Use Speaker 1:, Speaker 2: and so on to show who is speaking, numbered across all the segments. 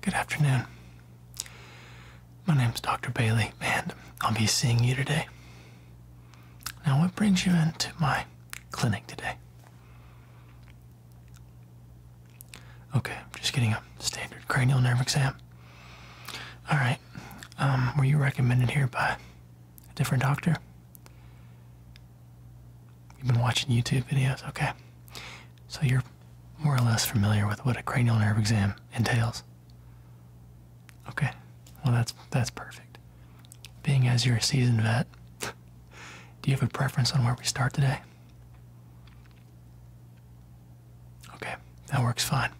Speaker 1: Good afternoon. My name is Dr. Bailey, and I'll be seeing you today. Now, what brings you into my clinic today? Okay, I'm just getting a standard cranial nerve exam. All right. Um, were you recommended here by a different doctor? You've been watching YouTube videos? Okay so you're more or less familiar with what a cranial nerve exam entails. Okay, well that's that's perfect. Being as you're a seasoned vet, do you have a preference on where we start today? Okay, that works fine.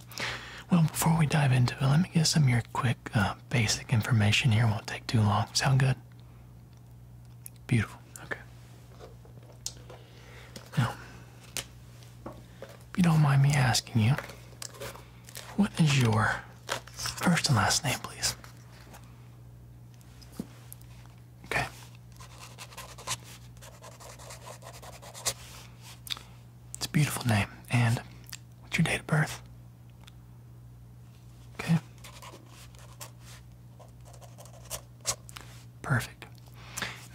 Speaker 1: Well, before we dive into it, let me get some of your quick uh, basic information here. won't take too long. Sound good? Beautiful. Okay. Now, if you don't mind me asking you, what is your first and last name, please? Okay. It's a beautiful name. And what's your date of birth? Okay. Perfect.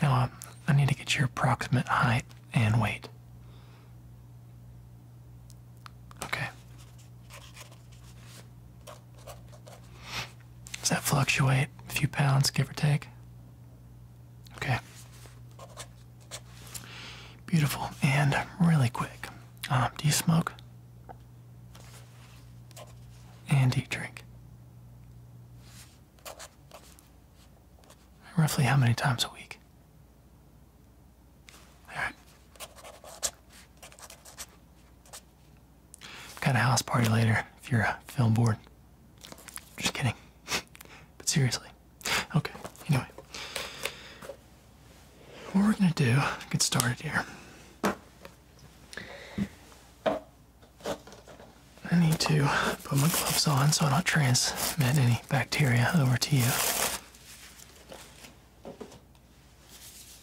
Speaker 1: Now uh, I need to get your approximate height and weight. Okay. Does that fluctuate a few pounds, give or take? Okay. Beautiful. And really quick. Um, do you smoke? And do you drink? Roughly how many times a week? Alright. Got a house party later if you're uh, film bored. Just kidding. but seriously. Okay, anyway. What we're gonna do, get started here. I need to put my gloves on so I don't transmit any bacteria over to you.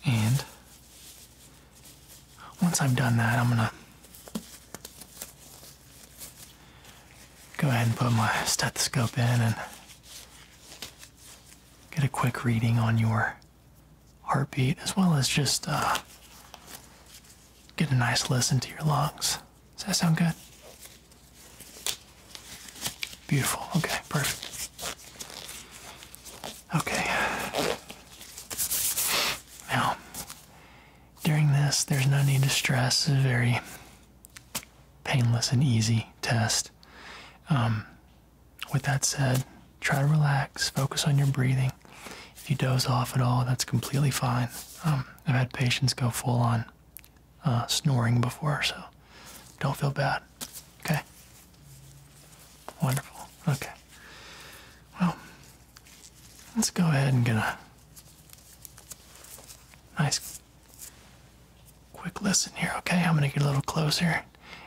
Speaker 1: And once I've done that, I'm gonna go ahead and put my stethoscope in and get a quick reading on your heartbeat as well as just uh, get a nice listen to your lungs. Does that sound good? Beautiful. Okay, perfect. Okay. Now, during this, there's no need to stress. It's a very painless and easy test. Um, with that said, try to relax, focus on your breathing. If you doze off at all, that's completely fine. Um, I've had patients go full on uh, snoring before, so don't feel bad. Okay? Wonderful. Okay. Well, let's go ahead and get a nice quick listen here, okay? I'm going to get a little closer. And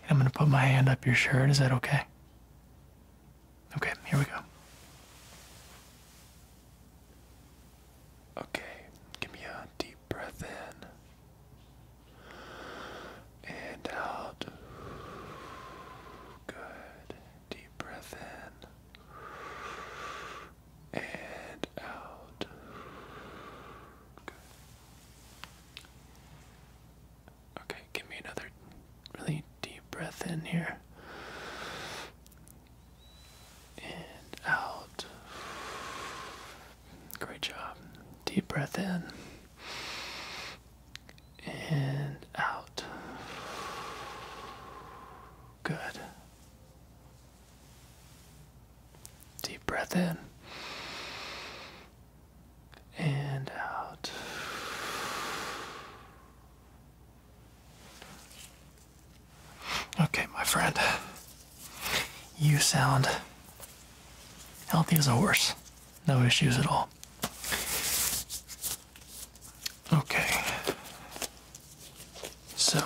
Speaker 1: I'm going to put my hand up your shirt. Is that okay? Okay, here we go. Okay, give me a deep breath in and out. Good. Deep breath in and out. Good. Okay, give me another really deep breath in here. And out. Great job. Deep breath in. And out. Good. Deep breath in and out. Okay, my friend, you sound healthy as a horse. No issues at all. Okay. So,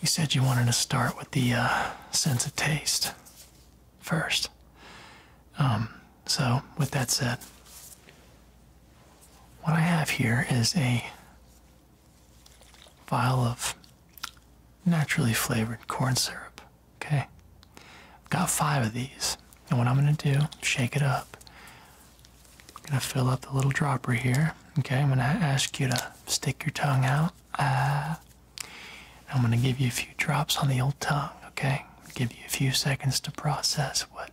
Speaker 1: you said you wanted to start with the uh, sense of taste first. Um, so, with that said, what I have here is a vial of naturally flavored corn syrup. Okay? I've got five of these. And what I'm going to do, shake it up. I'm going to fill up the little dropper here. Okay? I'm going to ask you to stick your tongue out. Ah. I'm going to give you a few drops on the old tongue, okay? Give you a few seconds to process what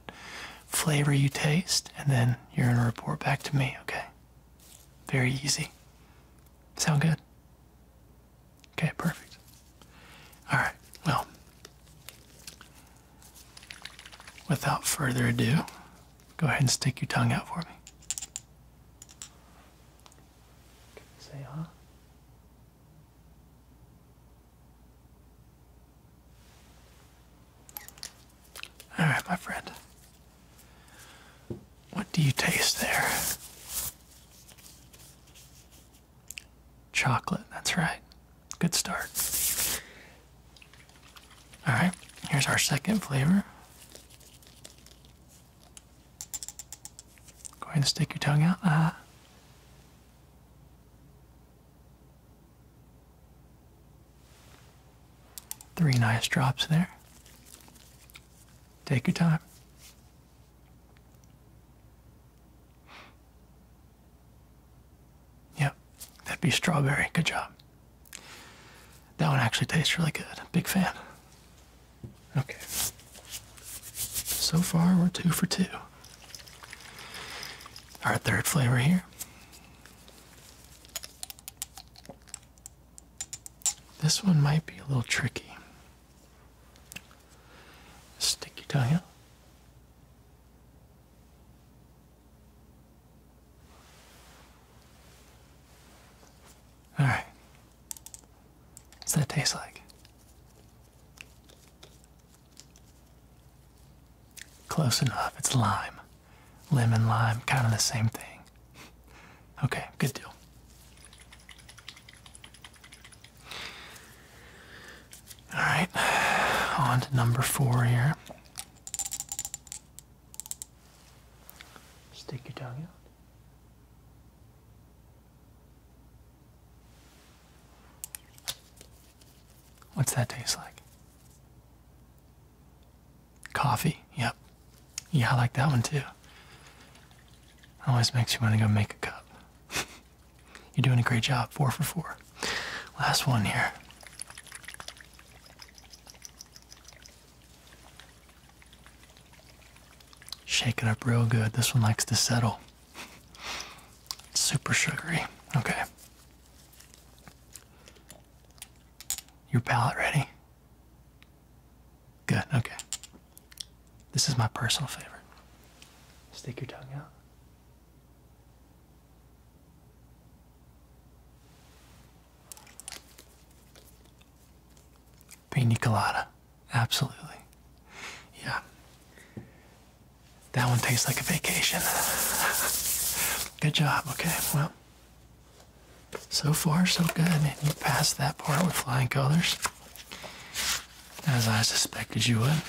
Speaker 1: flavor you taste, and then you're going to report back to me, okay? Very easy. Sound good? Okay, perfect. Alright, well, without further ado, go ahead and stick your tongue out for me. Say huh? Ah"? All right, my friend. What do you taste there? Chocolate, that's right. Good start. All right, here's our second flavor. Go ahead and stick your tongue out there. Three nice drops there. Take your time. Yep, that'd be strawberry. Good job. That one actually tastes really good. Big fan. Okay. So far, we're two for two. Our third flavor here. This one might be a little tricky. Sticky tongue out. All right, what does that taste like? Close enough. It's lime. Lemon lime, kind of the same thing. Okay, good deal. All right, on to number four here. Stick your tongue out. What's that taste like? Coffee. Yep. Yeah, I like that one too. Always makes you want to go make a cup. You're doing a great job. Four for four. Last one here. Shake it up real good. This one likes to settle. It's super sugary. Okay. Your palate ready? Good, okay. This is my personal favorite. Stick your tongue out. Pina colada. Absolutely. Yeah. That one tastes like a vacation. good job. Okay, well, so far so good. you passed that part with flying colors, as I suspected you would.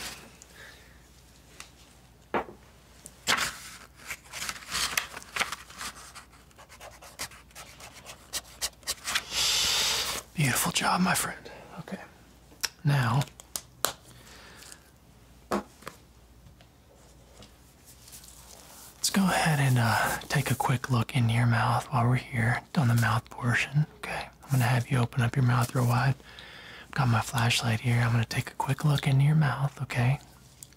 Speaker 1: Beautiful job, my friend. Okay. Now, let's go ahead and uh, take a quick look into your mouth while we're here on the mouth portion. Okay. I'm going to have you open up your mouth real wide. got my flashlight here. I'm going to take a quick look into your mouth. Okay.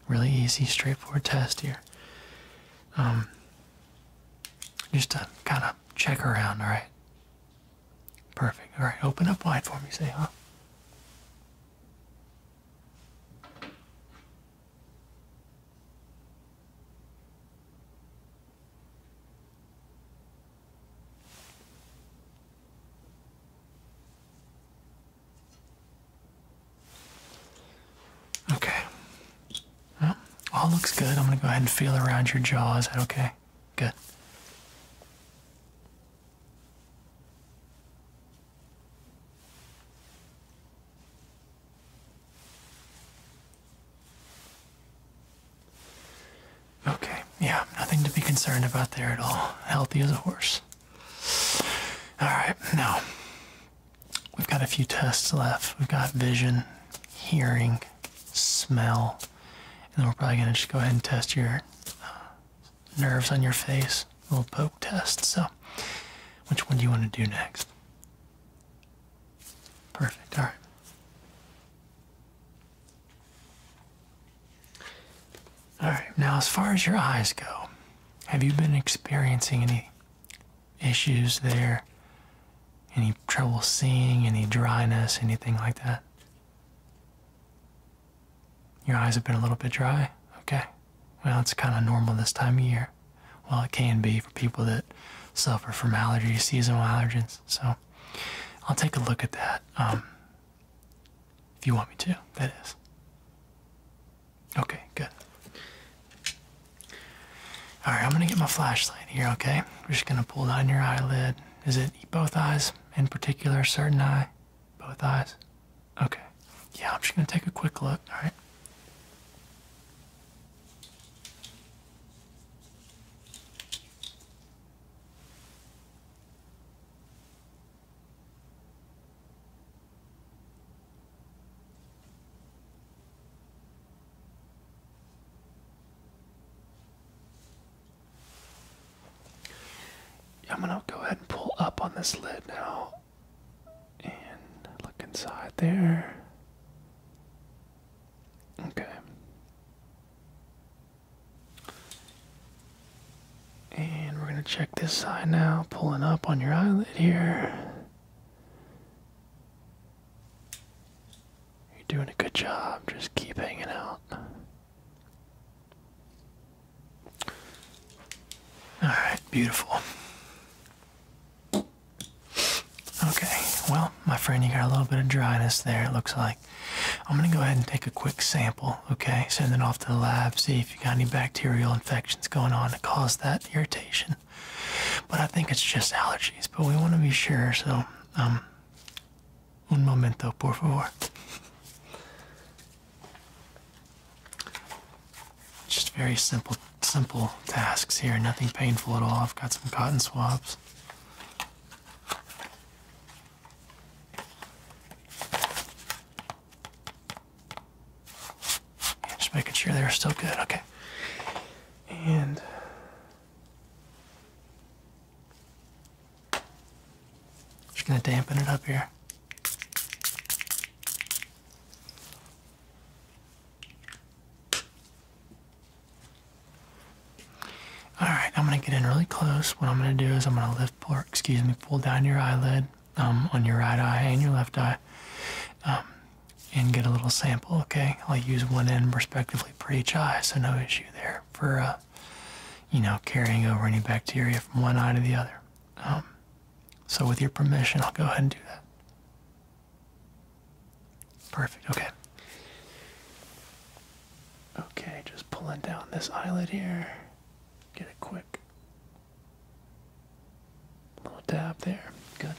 Speaker 1: Really easy, straightforward test here. Um, just to kind of check around, all right? Perfect. All right, open up wide for me, say, huh? Okay. Well, all looks good. I'm going to go ahead and feel around your jaw. Is that okay? Good. Okay, yeah, nothing to be concerned about there at all. Healthy as a horse. All right, now We've got a few tests left. We've got vision, hearing, smell, and then we're probably going to just go ahead and test your uh, nerves on your face, a little poke test. So, which one do you want to do next? Perfect. All right. All right. Now, as far as your eyes go, have you been experiencing any issues there? Any trouble seeing? Any dryness? Anything like that? Your eyes have been a little bit dry? Okay. Well, it's kind of normal this time of year. Well, it can be for people that suffer from allergy seasonal allergens. So I'll take a look at that um, if you want me to, that is. Okay, good. All right, I'm gonna get my flashlight here, okay? We're just gonna pull down your eyelid. Is it both eyes in particular, certain eye? Both eyes? Okay. Yeah, I'm just gonna take a quick look, all right? I'm gonna go ahead and pull up on this lid now and look inside there. Okay. And we're gonna check this side now, pulling up on your eyelid here. You're doing a good job. Just keep hanging out. Alright, beautiful. Okay, well, my friend, you got a little bit of dryness there, it looks like. I'm going to go ahead and take a quick sample, okay? Send it off to the lab, see if you got any bacterial infections going on to cause that irritation. But I think it's just allergies, but we want to be sure, so um un momento, por favor. Just very simple simple tasks here, nothing painful at all. I've got some cotton swabs. Just making sure they're still good. Okay. And just gonna dampen it up here. All right, I'm gonna get in really close. What I'm gonna do is I'm gonna lift, or excuse me, pull down your eyelid um, on your right eye and your left eye. Um, and get a little sample, okay? I'll use one end respectively per each eye, so no issue there for, uh, you know, carrying over any bacteria from one eye to the other. Um, so with your permission, I'll go ahead and do that. Perfect, okay. Okay, just pulling down this eyelid here. Get it quick. Little dab there, good.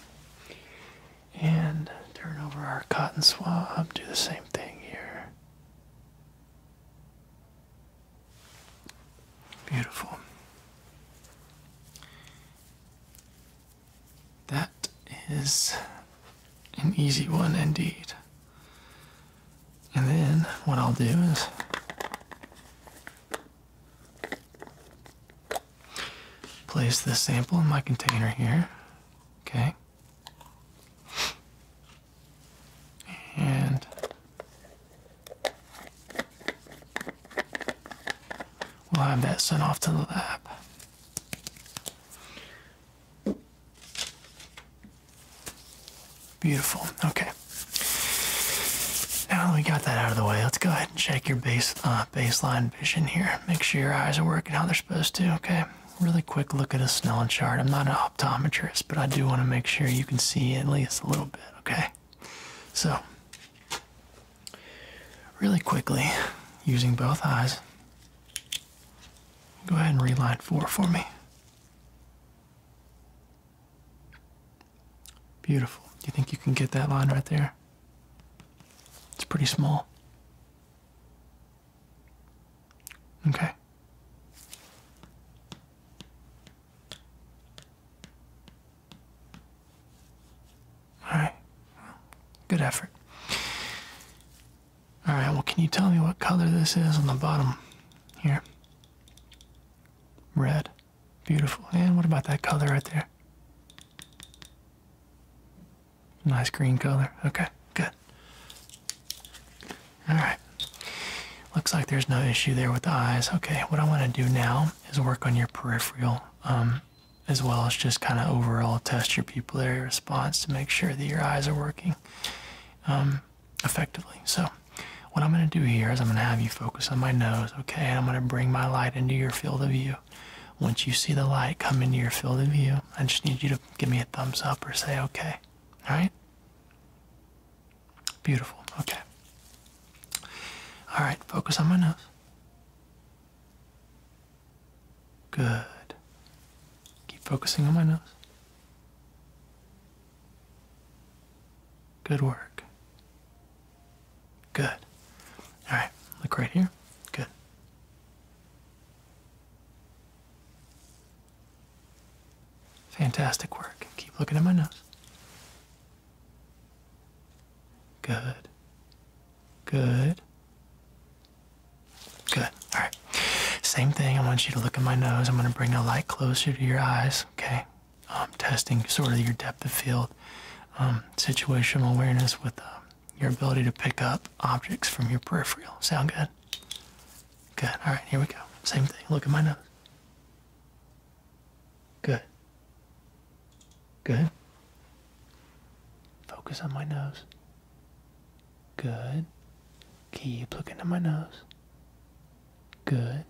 Speaker 1: And turn over our cotton swab, do the same thing here. Beautiful. That is an easy one indeed. And then what I'll do is Place the sample in my container here. Okay. And we'll have that sent off to the lab. Beautiful. Okay. Now that we got that out of the way, let's go ahead check your base uh, baseline vision here. Make sure your eyes are working how they're supposed to, okay? Really quick look at a Snellen chart. I'm not an optometrist, but I do want to make sure you can see at least a little bit, okay? So, really quickly, using both eyes, go ahead and reline four for me. Beautiful. Do you think you can get that line right there? It's pretty small. Okay. Alright. Good effort. Alright, well, can you tell me what color this is on the bottom here? Red. Beautiful. And what about that color right there? Nice green color. Okay, good. All right. Looks like there's no issue there with the eyes. Okay, what I want to do now is work on your peripheral um, as well as just kind of overall test your pupillary response to make sure that your eyes are working um, effectively. So what I'm going to do here is I'm going to have you focus focus on my nose, okay? And I'm going to bring my light into your field of view. Once you see the light come into your field of view, I just need you to give me a thumbs up or say okay. All right? Beautiful. Okay. All right, focus on my nose. Good. Keep focusing on my nose. Good work. Good. All right, look right here. Good. Fantastic work. Keep looking at my nose. Good. Good. Good. All right. Same thing. I want you to look at my nose. I'm going to bring the light closer to your eyes. Okay. Um, testing sort of your depth of field, um, situational awareness with um, your ability to pick up objects from your peripheral. Sound good? Good. All right, here we go. Same thing. Look at my nose. Good. Good. Focus on my nose. Good. Keep looking at my nose. Good.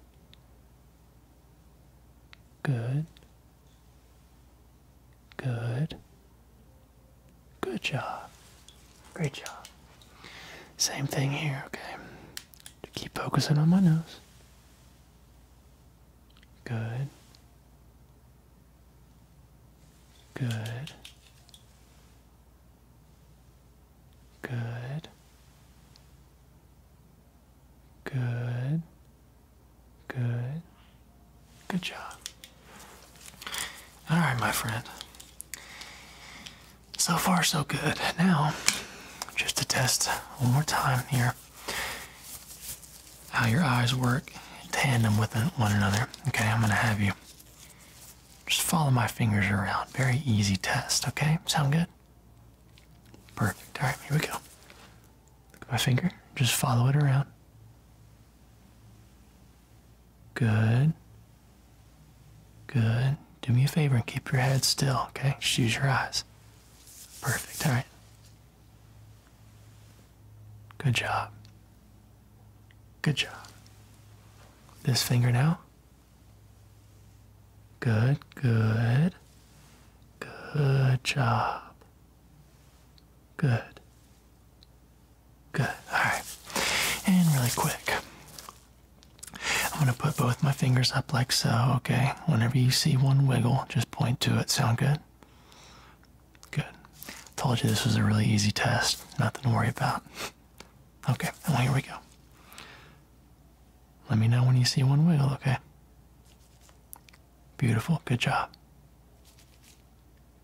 Speaker 1: Good. Good. Good job. Great job. Same thing here, okay? Keep focusing on my nose. Good. Good. Good. Good. Good. Good job. All right, my friend. So far, so good. Now, just to test one more time here how your eyes work in tandem with one another. Okay, I'm going to have you just follow my fingers around. Very easy test, okay? Sound good? Perfect. All right, here we go at my finger. Just follow it around. Good. Good. Do me a favor and keep your head still, okay? Just use your eyes. Perfect. All right. Good job. Good job. This finger now. Good, good. Good job. Good. Good. All right. And really quick, I'm going to put both my fingers up like so, okay? Whenever you see one wiggle, just point to it. Sound good? Good. Told you this was a really easy test. Nothing to worry about. Okay. And here we go. Let me know when you see one wiggle, okay? Beautiful. Good job.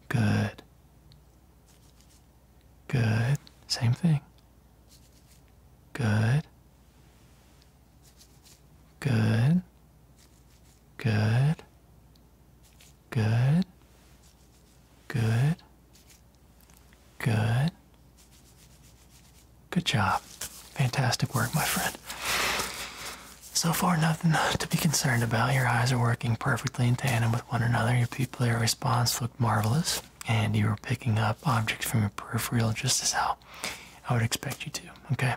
Speaker 1: Good. Good. Same thing. Good. Good. Good. Good. Good. Good. Good job. Fantastic work, my friend. So far, nothing to be concerned about. Your eyes are working perfectly in tandem with one another. Your pupillary response looked marvelous, and you were picking up objects from your peripheral just as how I would expect you to. Okay?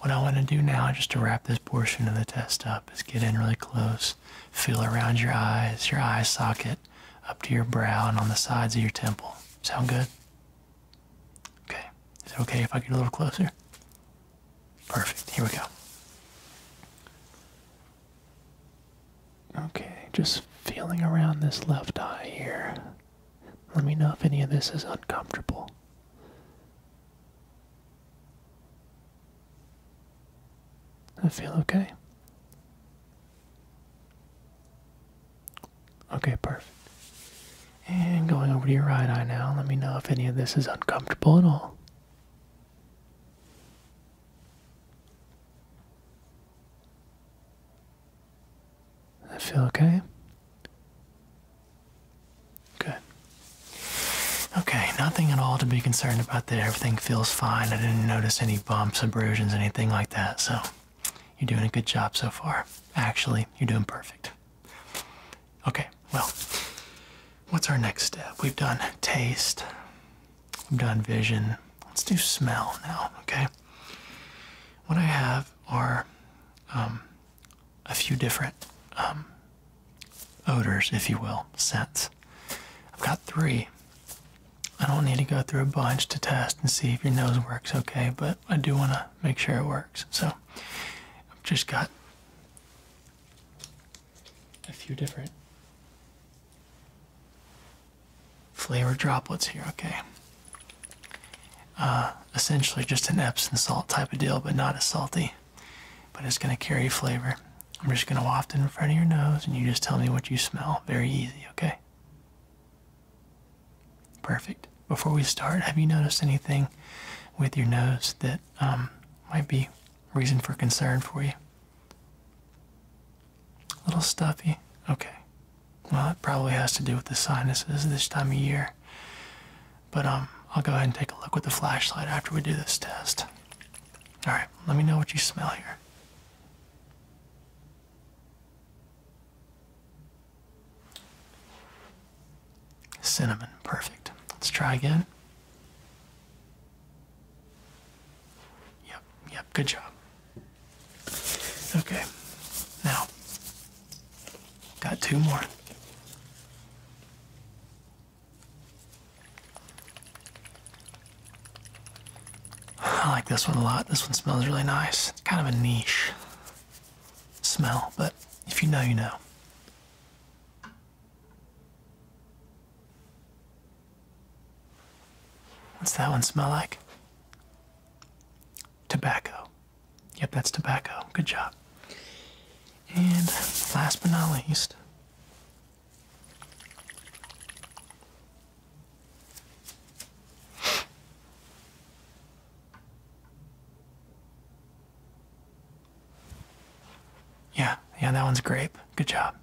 Speaker 1: What I want to do now, just to wrap this portion of the test up, is get in really close, feel around your eyes, your eye socket, up to your brow, and on the sides of your temple. Sound good? Okay, is it okay if I get a little closer? Perfect, here we go. Okay, just feeling around this left eye here. Let me know if any of this is uncomfortable. I feel okay. Okay, perfect. And going over to your right eye now, let me know if any of this is uncomfortable at all. I feel okay? Good. Okay, nothing at all to be concerned about there. Everything feels fine. I didn't notice any bumps, abrasions, anything like that, so you're doing a good job so far. Actually, you're doing perfect. Okay, well, what's our next step? We've done taste, we've done vision. Let's do smell now, okay? What I have are um, a few different um, odors, if you will, scents. I've got three. I don't need to go through a bunch to test and see if your nose works okay, but I do want to make sure it works. So I've just got a few different flavor droplets here, okay? Uh, essentially just an Epsom salt type of deal, but not as salty. But it's going to carry flavor. I'm just going to waft it in front of your nose, and you just tell me what you smell. Very easy, okay? Perfect. Before we start, have you noticed anything with your nose that um, might be reason for concern for you? A little stuffy? Okay. Well, it probably has to do with the sinuses this time of year. But um, I'll go ahead and take a look with the flashlight after we do this test. All right, let me know what you smell here. Cinnamon, perfect. Let's try again. Yep, yep, good job. Okay, now, got two more. I like this one a lot. This one smells really nice. It's kind of a niche smell, but if you know, you know. What's that one smell like? Tobacco. Yep, that's tobacco. Good job. And last but not least, yeah, yeah, that one's grape. Good job.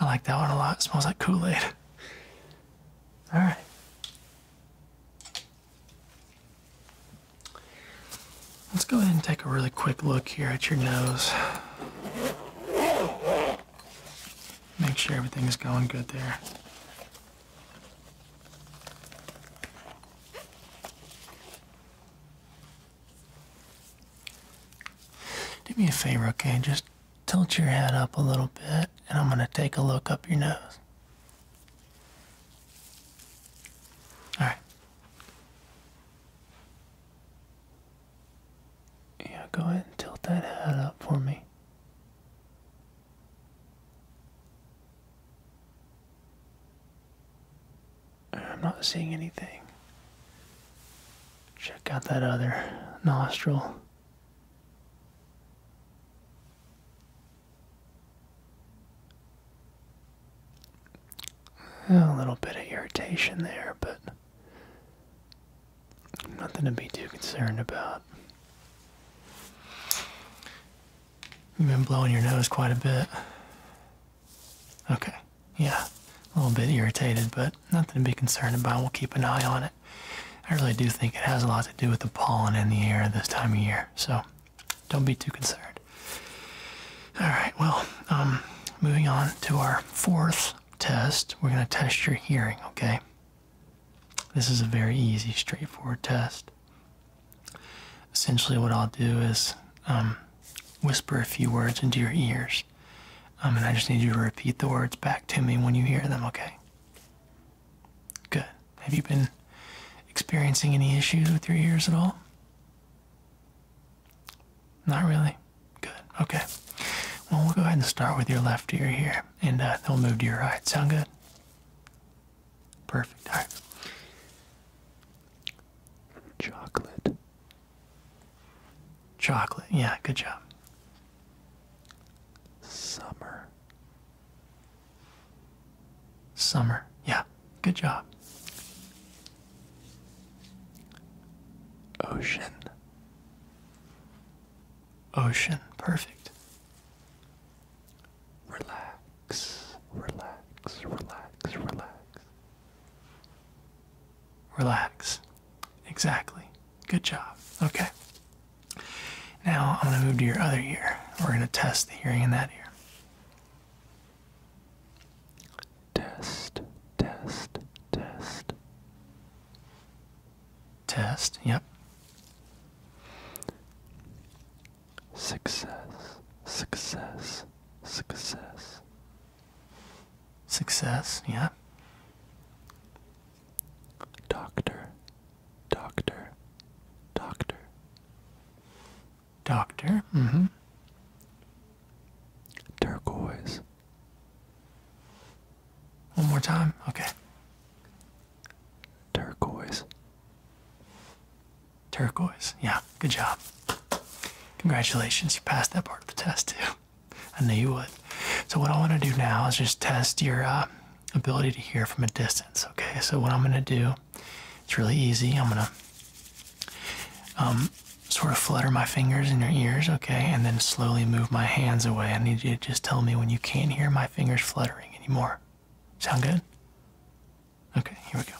Speaker 1: I like that one a lot. smells like Kool-Aid. All right. Let's go ahead and take a really quick look here at your nose. Make sure everything is going good there. Do me a favor, okay? Just tilt your head up a little bit, and I'm going to take a look up your nose. All right. Yeah, go ahead and tilt that head up for me. I'm not seeing anything. Check out that other nostril. A little bit of irritation there, but Nothing to be too concerned about. You've been blowing your nose quite a bit. Okay, yeah, a little bit irritated, but nothing to be concerned about. We'll keep an eye on it. I really do think it has a lot to do with the pollen in the air this time of year, so don't be too concerned. All right, well, um, moving on to our fourth test. We're going to test your hearing, okay? This is a very easy, straightforward test. Essentially, what I'll do is um, whisper a few words into your ears, um, and I just need you to repeat the words back to me when you hear them, okay? Good. Have you been experiencing any issues with your ears at all? Not really. Good. Okay. Well, we'll go ahead and start with your left ear here and i uh, will move to your right. Sound good? Perfect. All right. Chocolate. Chocolate. Yeah, good job. Summer. Summer. Yeah, good job. Ocean ocean. Perfect. Relax, relax, relax, relax. Relax. Exactly. Good job. Okay. Now I'm going to move to your other ear. We're going to test the hearing in that ear. Test, test, test. Test, yep. Success, success, success. Success, yeah. Doctor, doctor, doctor. Doctor, mm hmm. Turquoise. One more time, okay. Turquoise. Turquoise. Yeah, good job. Congratulations, you passed that part of the test too. I knew you would. So what I want to do now is just test your uh, ability to hear from a distance. Okay. So what I'm going to do, it's really easy. I'm going to um, sort of flutter my fingers in your ears. Okay, and then slowly move my hands away. I need you just tell me when you can't hear my fingers fluttering anymore. Sound good? Okay, here we go.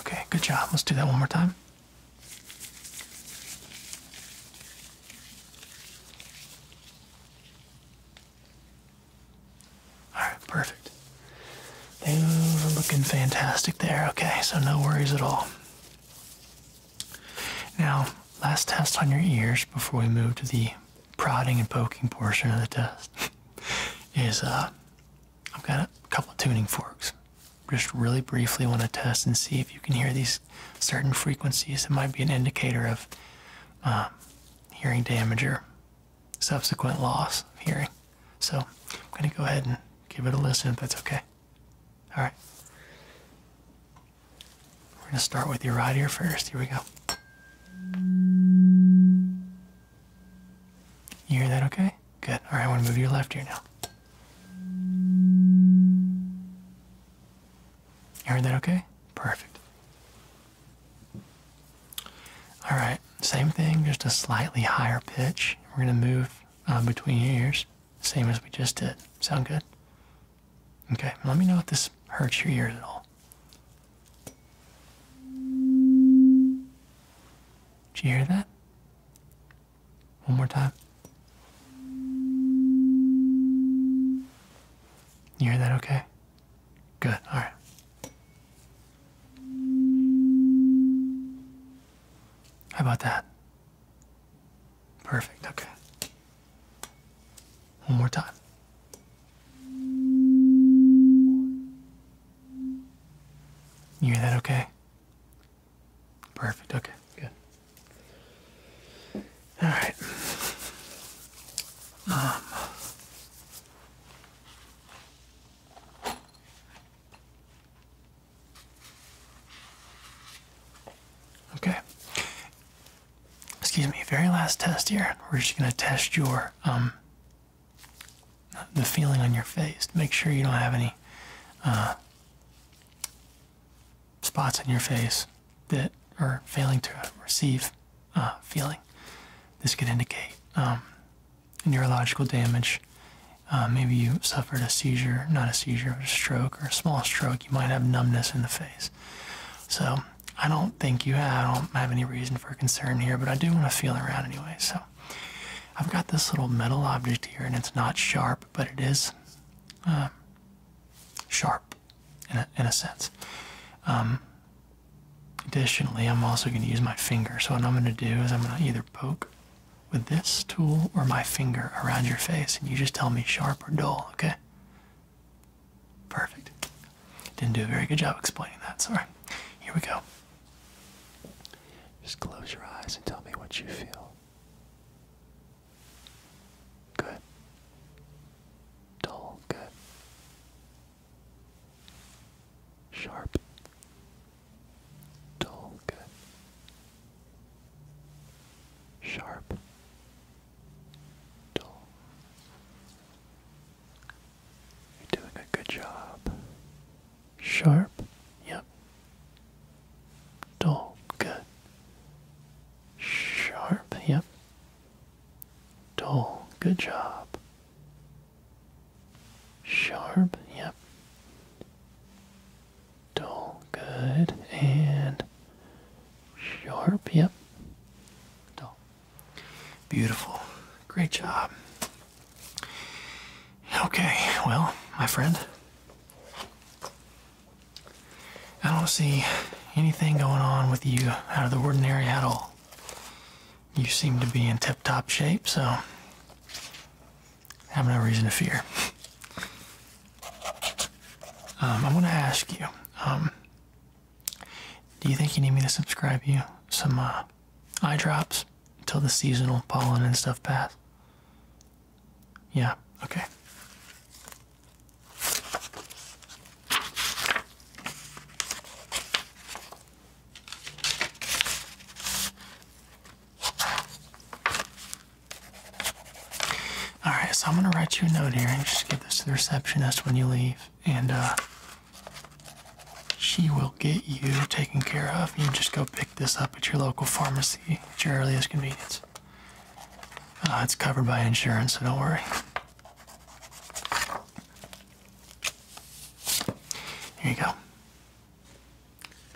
Speaker 1: Okay, good job. Let's do that one more time. All right, perfect. They are looking fantastic there, okay, so no worries at all. Now, last test on your ears before we move to the prodding and poking portion of the test is uh, I've got a couple tuning forks. Just really briefly want to test and see if you can hear these certain frequencies. It might be an indicator of uh, hearing damage or subsequent loss of hearing. So I'm going to go ahead and give it a listen if that's okay. All right. We're going to start with your right ear first. Here we go. You hear that okay? Good. All right, I want to move your left ear now. You heard that okay? Perfect. All right, same thing, just a slightly higher pitch. We're going to move uh, between your ears, same as we just did. Sound good? Okay, let me know if this hurts your ears at all. Did you hear that? One more time. You hear that okay? Good. All right. How about that? Perfect. Okay. One more time. You hear that okay? Perfect. Okay. Good. All right. Um, Okay. Excuse me, very last test here. We're just gonna test your um, the feeling on your face. Make sure you don't have any uh, spots on your face that are failing to receive uh, feeling. This could indicate um, neurological damage. Uh, maybe you suffered a seizure, not a seizure, but a stroke or a small stroke. You might have numbness in the face. So I don't think you have, I don't have any reason for concern here, but I do want to feel around anyway. So I've got this little metal object here, and it's not sharp, but it is uh, sharp in a, sense. Um, Additionally, I'm also going to use my finger. So what I'm going to do is I'm going to either poke with this tool or my finger around your face and you just tell me sharp or dull, okay? Perfect. Didn't do a very good job explaining that, sorry. Here we go. Just close your eyes and tell me what you feel. Good. Dull, good. Sharp. Dull. Good. Sharp. Dull. You're doing a good job. Sharp. Yep. Dull. Good. Sharp. Yep. Dull. Good job. Sharp, yep. Dull, good. And sharp, yep. Dull. Beautiful. Great job. Okay, well, my friend, I don't see anything going on with you out of the ordinary at all you seem to be in tip-top shape, so I have no reason to fear. Um, I want to ask you, um, do you think you need me to subscribe you some uh, eye drops until the seasonal pollen and stuff pass? Yeah, okay. All right, so I'm gonna write you a note here and just give this to the receptionist when you leave, and uh, she will get you taken care of. You just go pick this up at your local pharmacy at your earliest convenience. Uh, it's covered by insurance, so don't worry. Here you go.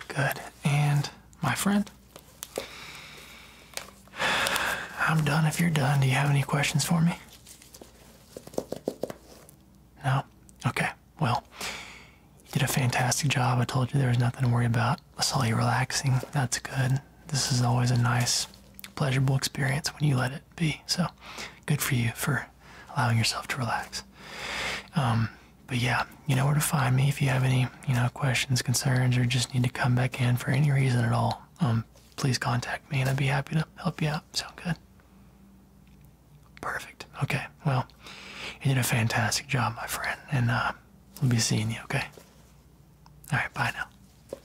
Speaker 1: Good. And my friend, I'm done if you're done. Do you have any questions for me? No? Okay. Well, you did a fantastic job. I told you there was nothing to worry about. I saw you relaxing. That's good. This is always a nice, pleasurable experience when you let it be. So good for you for allowing yourself to relax. Um, but yeah, you know where to find me if you have any, you know, questions, concerns, or just need to come back in for any reason at all. Um, please contact me and I'd be happy to help you out. Sound good? Perfect. Okay. Well, you did a fantastic job, my friend, and uh, we'll be seeing you, okay? All right, bye now.